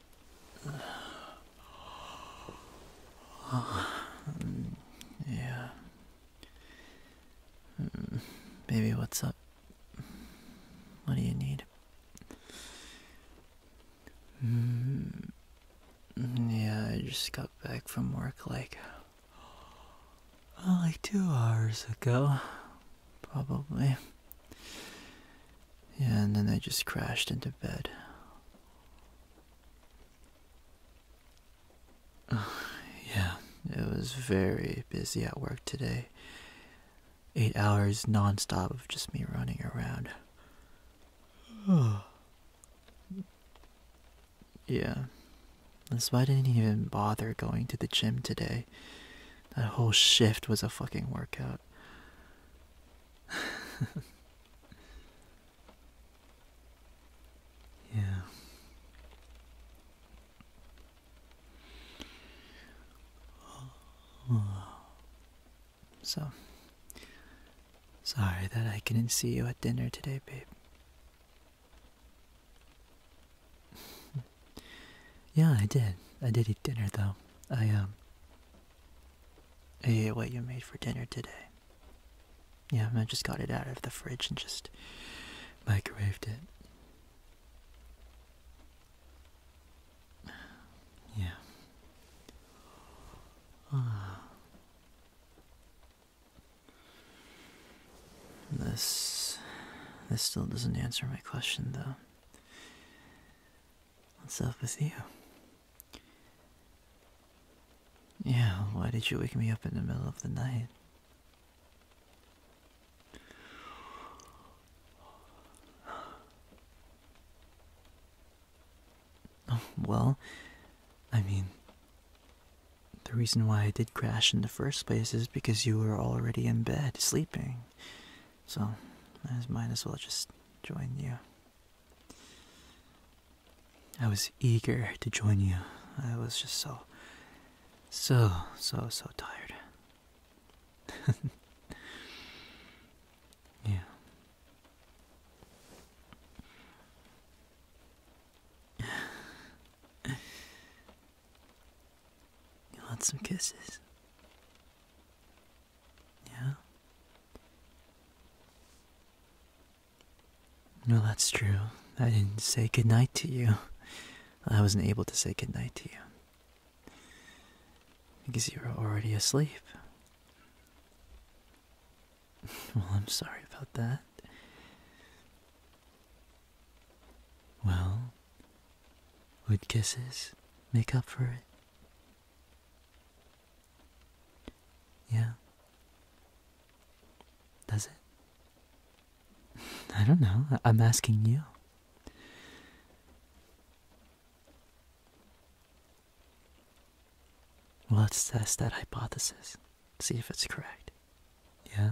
yeah. Hmm, baby, what's up? What do you need? Hmm, yeah, I just got back from work like. Well, oh, like two hours ago. Probably. Yeah, and then I just crashed into bed. yeah, it was very busy at work today. Eight hours nonstop of just me running around. yeah. That's why I didn't even bother going to the gym today. That whole shift was a fucking workout. yeah. So, sorry that I couldn't see you at dinner today, babe. Yeah, I did. I did eat dinner though. I um I ate what you made for dinner today. Yeah, I just got it out of the fridge and just microwaved it. Yeah. Uh, this this still doesn't answer my question though. What's up with you? Yeah, why did you wake me up in the middle of the night? Oh, well, I mean, the reason why I did crash in the first place is because you were already in bed sleeping. So I might as well just join you. I was eager to join you. I was just so, so, so, so tired. yeah. You want some kisses? Yeah? No, that's true. I didn't say goodnight to you. I wasn't able to say goodnight to you. Because you were already asleep. Well, I'm sorry about that. Well, would kisses make up for it? Yeah. Does it? I don't know. I'm asking you. let's test that hypothesis. See if it's correct. Yeah?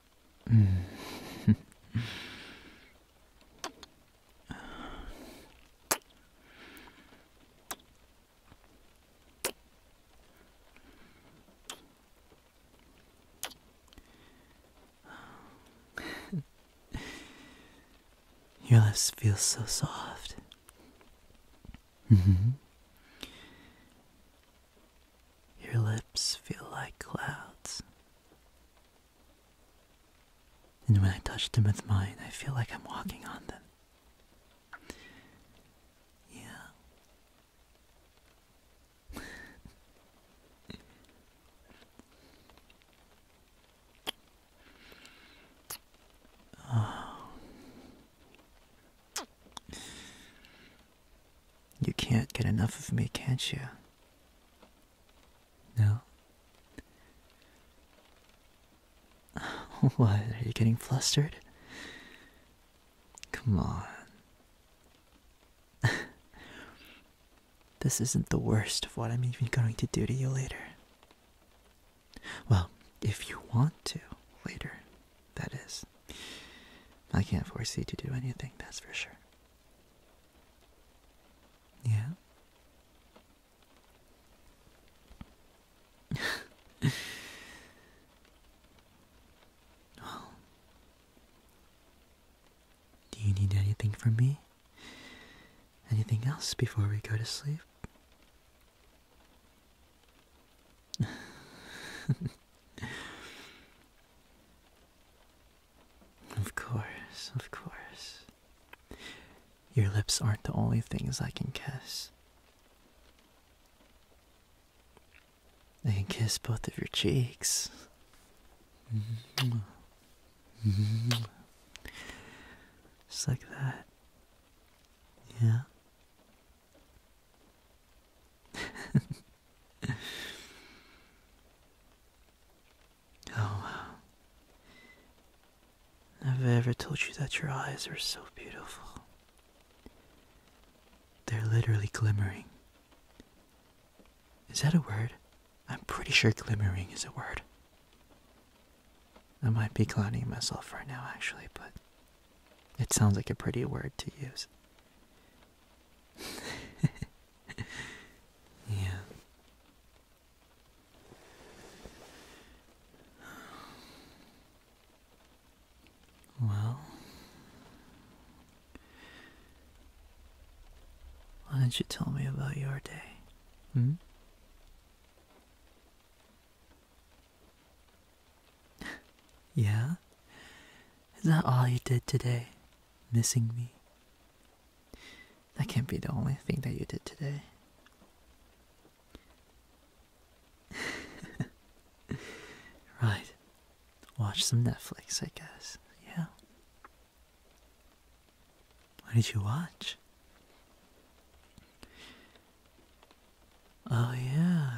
Your lips feel so soft. Mm -hmm. Your lips feel like clouds. And when I touch them with mine, I feel like I'm walking on them. Yeah. oh. You can't get enough of me, can't you? No? What? Are you getting flustered? Come on. this isn't the worst of what I'm even going to do to you later. Well, if you want to later that is. I can't foresee to do anything, that's for sure. Yeah? well, do you need anything from me? Anything else before we go to sleep? of course, of course. Your lips aren't the only things I can kiss. I can kiss both of your cheeks. Just like that. Yeah. oh wow. i ever told you that your eyes are so beautiful. They're literally glimmering. Is that a word? I'm pretty sure glimmering is a word. I might be clowning myself right now, actually, but it sounds like a pretty word to use. yeah. Well, why don't you tell me about your day? Hmm? yeah? Is that all you did today? Missing me? That can't be the only thing that you did today. right. Watch some Netflix, I guess. Yeah. What did you watch? Oh, yeah.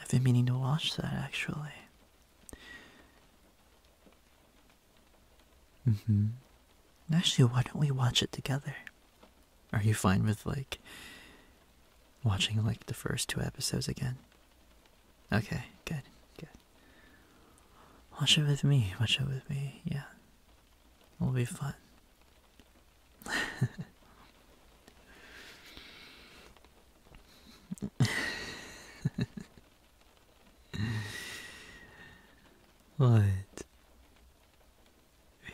I've been meaning to watch that actually. hmm. Actually, why don't we watch it together? Are you fine with, like, watching, like, the first two episodes again? Okay, good, good. Watch it with me, watch it with me, yeah. It'll be fun. what?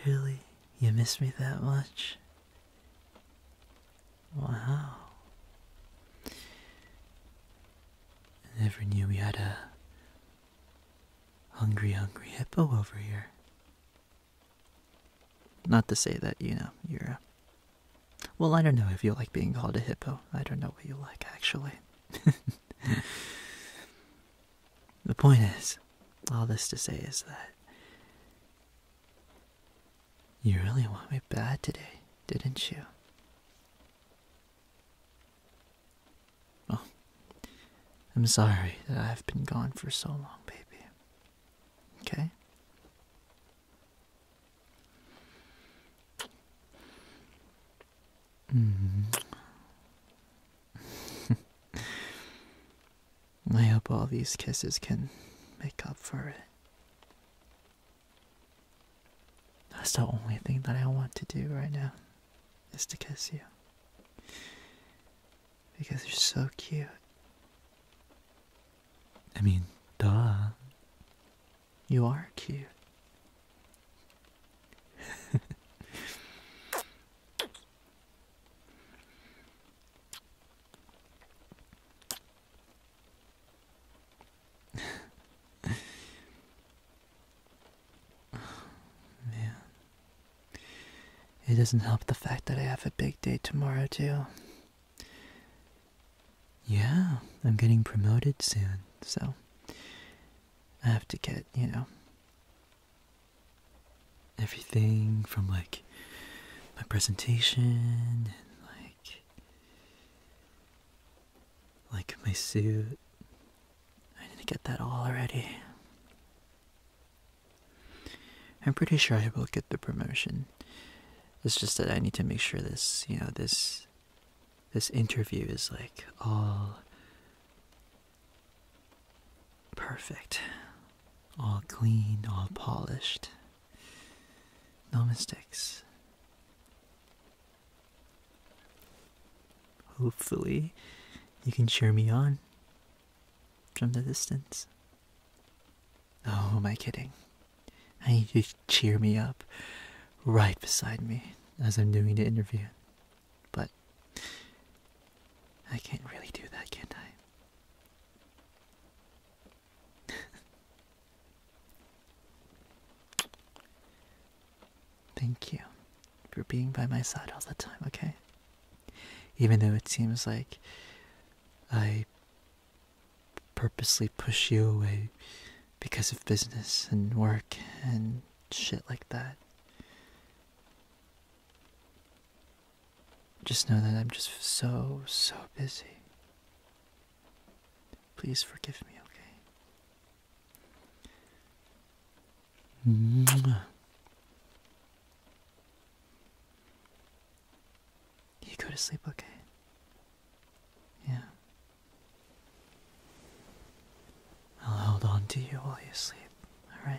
Really? You miss me that much? Wow. I never knew we had a Hungry, hungry hippo over here. Not to say that, you know, you're a. Well, I don't know if you like being called a hippo. I don't know what you like, actually. the point is, all this to say is that. You really want me bad today, didn't you? I'm sorry that I've been gone for so long, baby. Okay? Mm-hmm. I hope all these kisses can make up for it. That's the only thing that I want to do right now is to kiss you. Because you're so cute. I mean, duh. You are cute. Man. It doesn't help the fact that I have a big day tomorrow, too. Yeah, I'm getting promoted soon, so I have to get, you know, everything from like my presentation and like like my suit. I need to get that all ready. I'm pretty sure I will get the promotion. It's just that I need to make sure this, you know, this this interview is like all perfect. All clean, all polished. No mistakes. Hopefully, you can cheer me on from the distance. Oh, am I kidding? I need you to cheer me up right beside me as I'm doing the interview. But I can't really do that, can I? Thank you for being by my side all the time, okay? Even though it seems like I purposely push you away because of business and work and shit like that. Just know that I'm just so, so busy. Please forgive me, okay? Mwah. You go to sleep, okay? Yeah. I'll hold on to you while you sleep, alright?